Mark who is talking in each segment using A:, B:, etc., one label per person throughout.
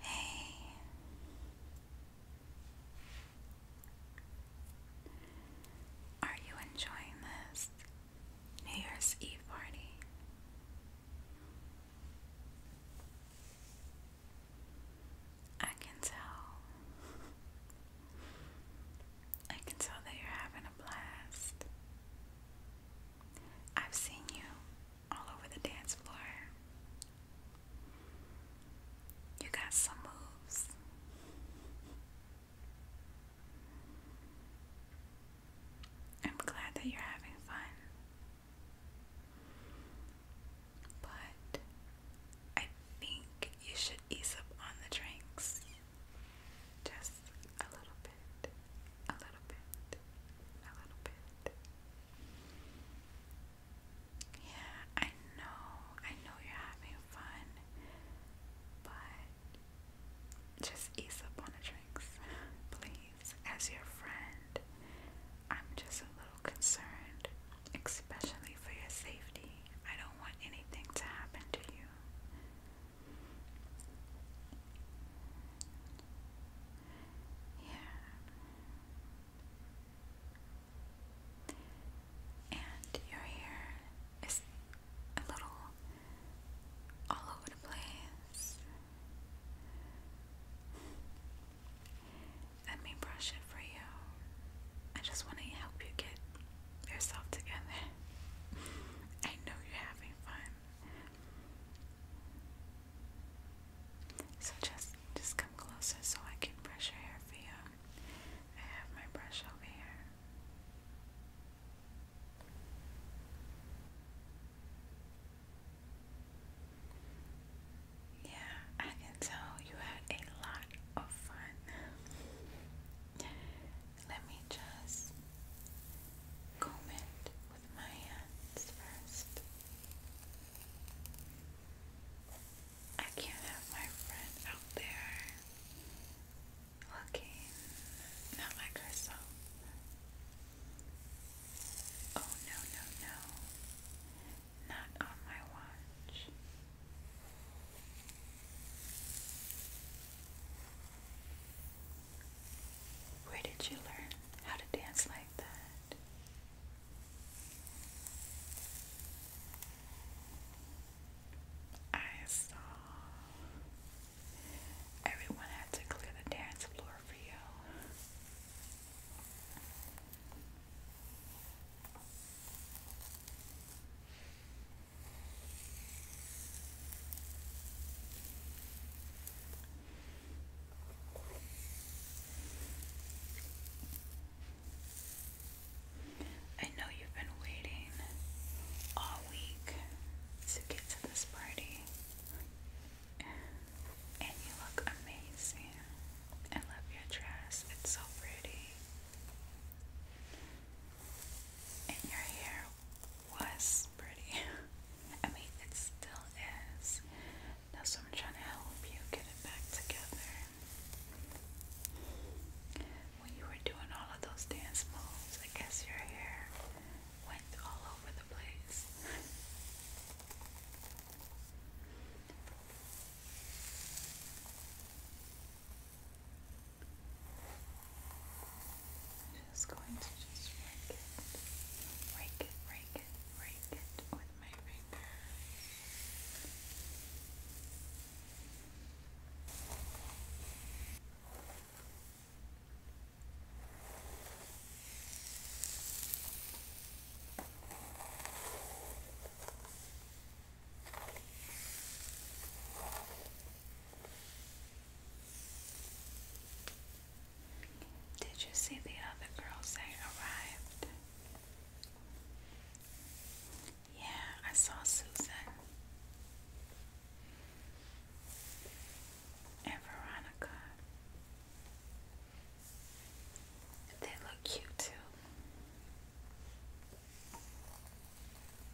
A: Hey. Are you enjoying this New Year's Eve party? I can tell. I can tell that you're having a blast. I've seen you all over the dance floor. You got some moves. I'm glad that you're having fun. But I think you should ease up on the drinks. Just a little bit, a little bit, a little bit. Yeah, I know, I know you're having fun, but just ease up on the drinks, please. As your friend, I'm just a little concerned, especially for your safety. I don't want anything to happen to you. Yeah. And your hair is a little all over the place. Let me brush it for you. I just want to help you get yourself together. I know you're having fun. So just just come closer so I can brush your hair for you. I have my brush over here. Yeah, I can tell you had a lot of fun. Let me just comb it with my hands first. I can't have my friend out there looking not like herself. Oh no, no, no. Not on my watch. Where did you learn how to dance like that? I saw everyone had to clear the dance floor for you. I know you've been waiting all week to get to this party, and you look amazing. I love your dress, it's so pretty. And your hair was pretty. I mean, it still is. That's so I'm trying to help you get it back together. When you were doing all of those dance moves, I guess your hair went all over the place. Just going to just break it, rake it, rake it, rake it with my finger. Did you see the other girls They arrived? Yeah, I saw Susan and Veronica. They look cute too.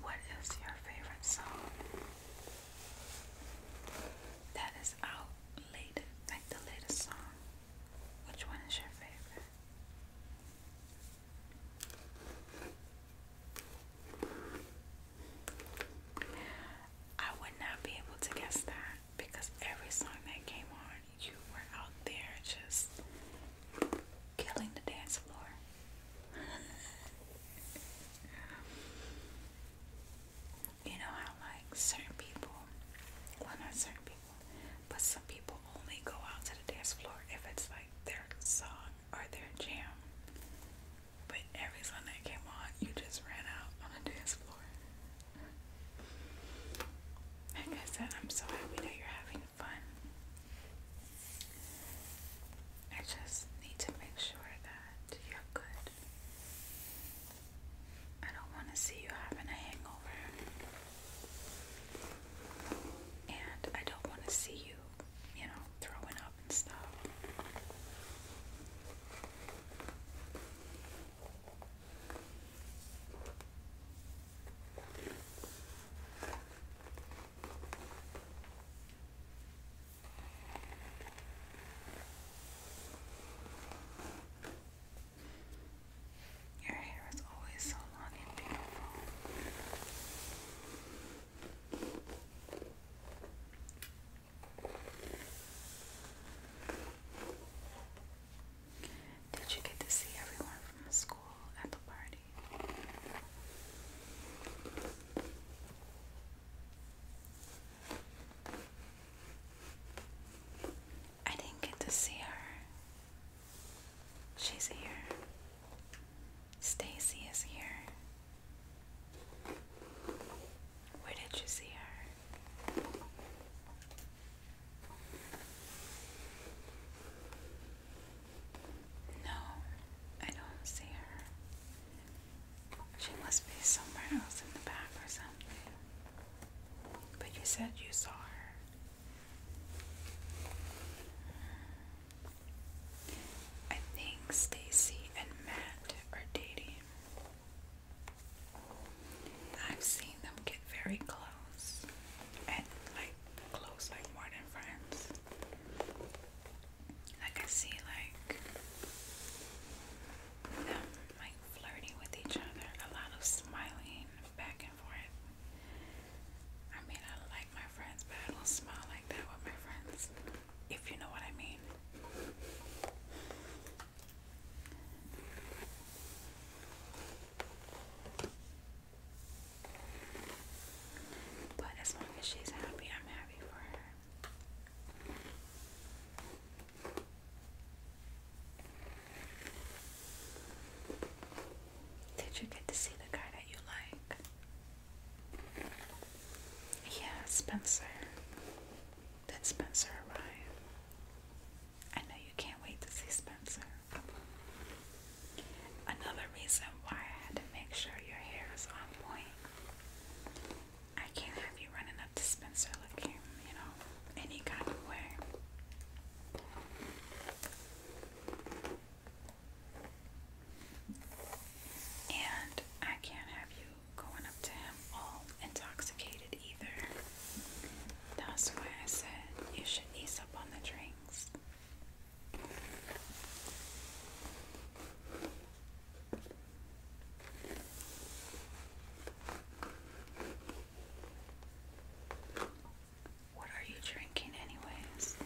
A: What is your favorite song that is out late, like the latest song? Which one is your favorite? I would not be able to guess that because every song that came on, you were out there just killing the dance floor. you know how, like, certain people, well, not certain people, but some people only go out to the dance floor if it's like their song or their jam. But every song that came on, you just ran out on the dance floor. Like I said, I'm so happy that you're having fun. I just need to make sure that you're good. I don't want to see you having a hangover. And I don't want to see you, you know, throwing up and stuff. Your hair is always so long and beautiful. Did you get to see everyone from the school at the party? I didn't get to see her. She's here. Stacy is here. Where did you see her? No, I don't see her. She must be somewhere else in the back or something. But you said you saw her. I think Stacy and Matt are dating. I've seen them get very close and like close like more than friends. Like I see like them like flirting with each other, a lot of smiling back and forth. I mean I my friends, but I will smile like that with my friends, if you know what I mean. But as long as she's happy, I'm happy for her. Did you get to see the guy that you like? Yeah, Spencer. Did Spencer arrive? I know you can't wait to see Spencer. Another reason why I had to make sure your hair is on point. I can't have you running up to Spencer looking, you know, any kind of way. And I can't have you going up to him all intoxicated either. That's why I said you should ease up on the drinks. What are you drinking, anyways?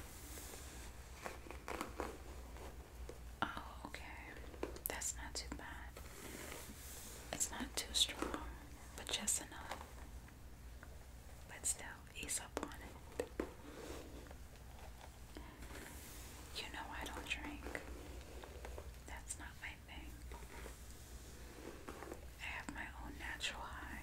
A: Oh, okay. That's not too bad. It's not too strong, but just enough. But still, ease up on it. You know, I don't drink. That's not my thing. I have my own natural high.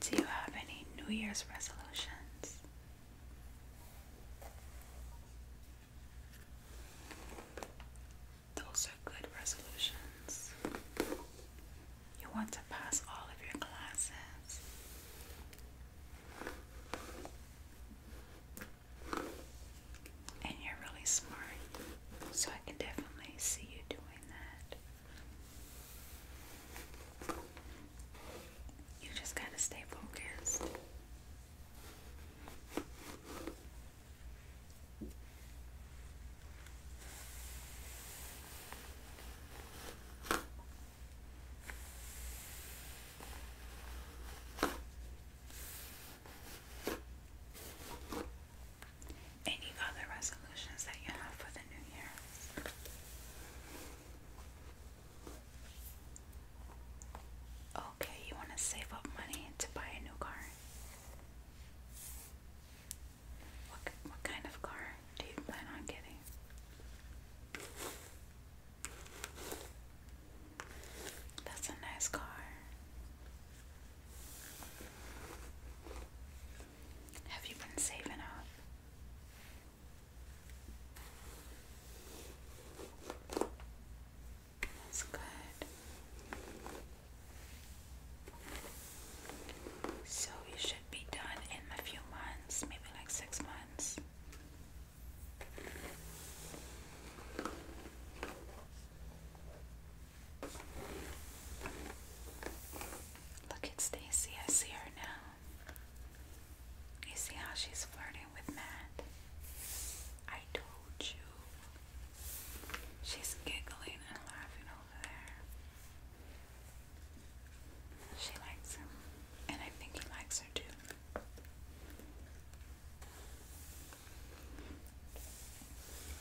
A: Do you have any New Year's resolutions? Those are good resolutions. You want to pass all of your classes. And you're really smart. So I can definitely see you doing that. You just got to stay focused. Any other resolutions that you have for the new year? Okay, you want to save up money to buy a new car? What, what kind of car do you plan on getting? That's a nice car. Have you been saving up? That's good. So you should be done in a few months, maybe like six months. Look at Stacy. I see her now. You see how she's flirting with Matt? I told you. She's giggling and laughing over there. She likes him, and I think he likes her too.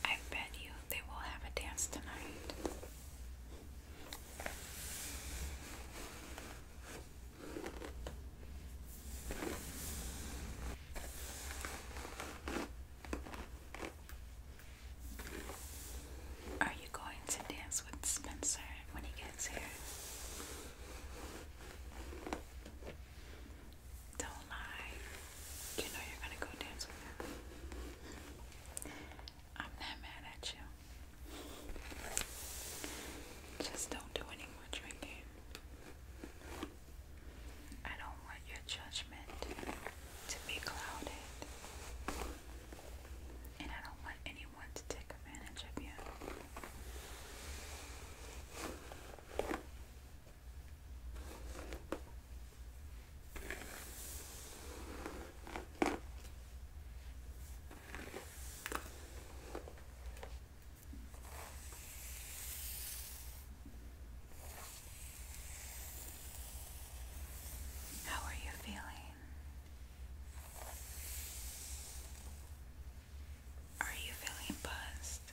A: I bet you they will have a dance tonight. Are you going to dance with Spencer when he gets here? Don't lie. You know you're gonna go dance with him. I'm not mad at you. Just don't do any more drinking. I don't want your judgment to be clouded. And I don't want anyone to take advantage of you. How are you feeling? Are you feeling buzzed?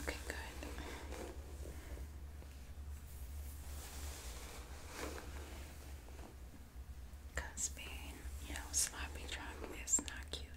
A: Okay, good. Cause being, you know, sloppy drunk is not cute.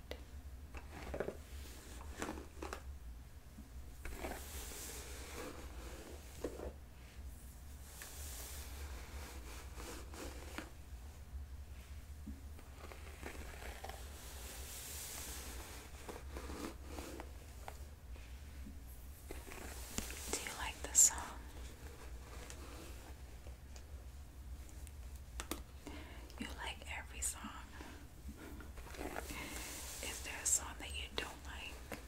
A: Do you like the song? You like every song. Is there a song that you don't like?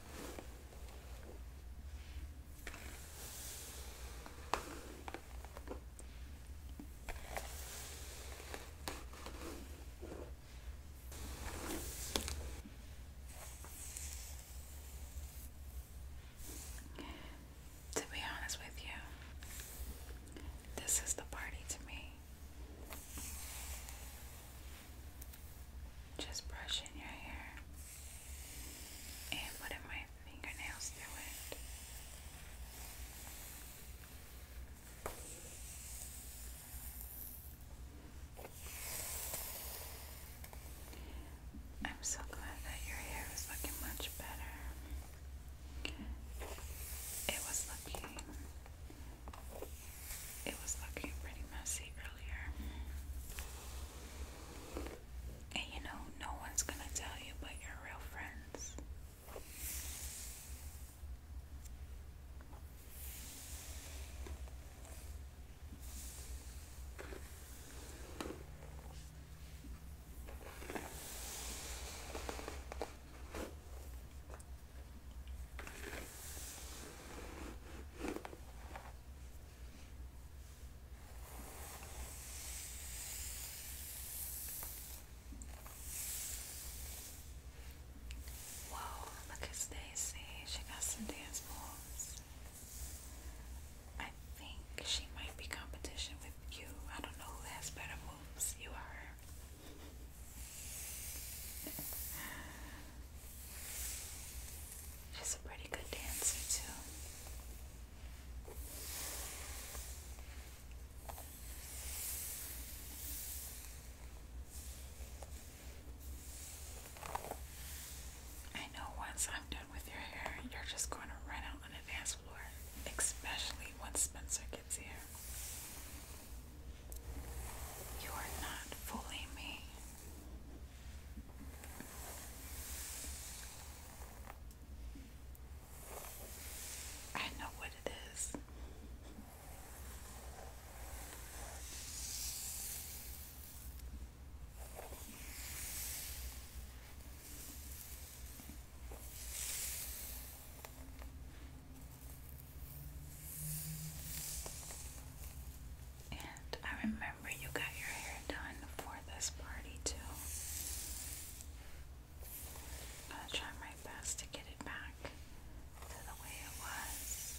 A: To be honest with you, this is the party to me. Just brushing your hair and putting my fingernails through I'm so glad that your hair is looking much better. It was looking it was looking pretty messy earlier. And you know, no one's gonna tell you but your real friends. Whoa, look at Stacy. She got some dance moves. I think she might be competition with you. I don't know who has better moves, you or She's a pretty good dancer, too. I know once I'm done with your hair, you're just going to run out on the dance floor, especially once Spencer gets here. You are not fooling me. I know what it is. And I remember you got your hair done for this party too. gonna try my best to get it back to the way it was.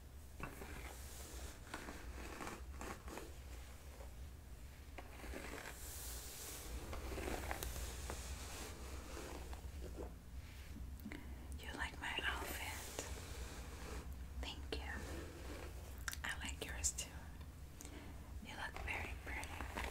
A: You like my outfit? Thank you. I like yours too. You look very pretty.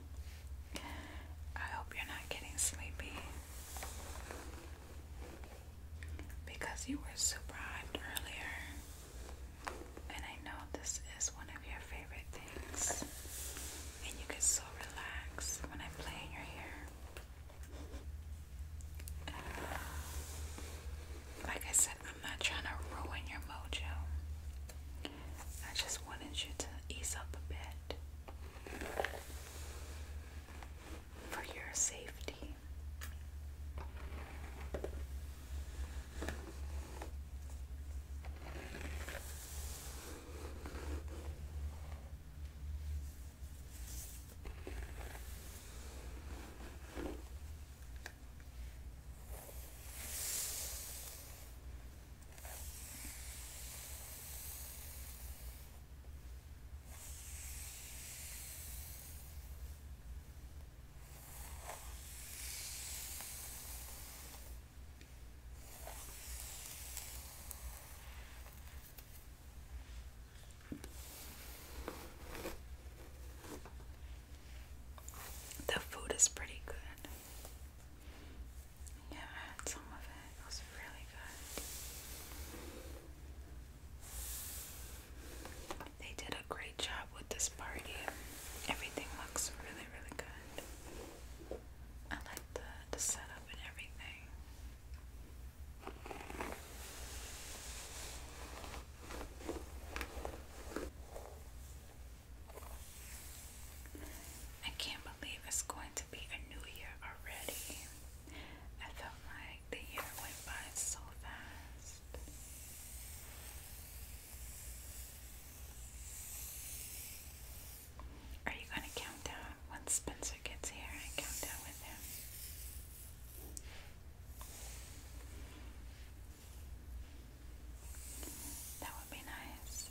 A: I hope you're not getting sleepy because you were super hyped earlier, and I know this is one of your favorite things, and you get so relaxed when I play in your hair. Uh, like I said, I'm not trying to ruin your mojo. I just wanted you to ease up a bit for your safety. The food is pretty good. Yeah, some of It was really good. They did a great job with this party. Everything looks really, really good. I like the, the setup and everything. I can't believe it's going to be a new year already. I felt like the year went by so fast. Are you going to count down when Spencer gets here and count down with him? That would be nice.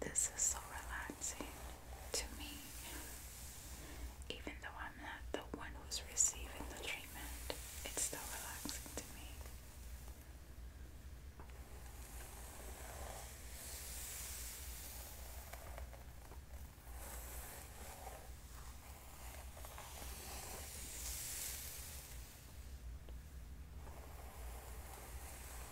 A: This is so relaxing to me, even though I'm not the one who's receiving the treatment, it's still relaxing to me.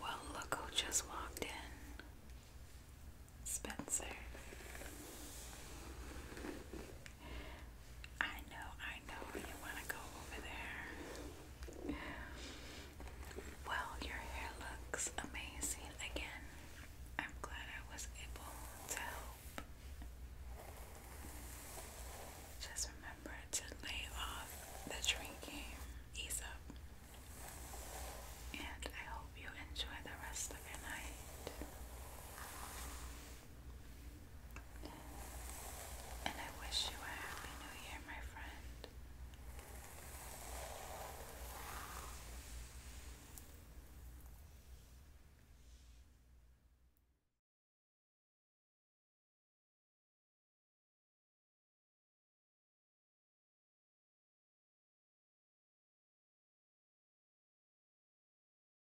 A: Well, look just walked in. Spencer. I know, I know you want to go over there. Well, your hair looks amazing again. I'm glad I was able to help. Just remember to lay off the drinking, ease up. And I hope you enjoy the rest of your night. And I wish you a happy new year, my friend.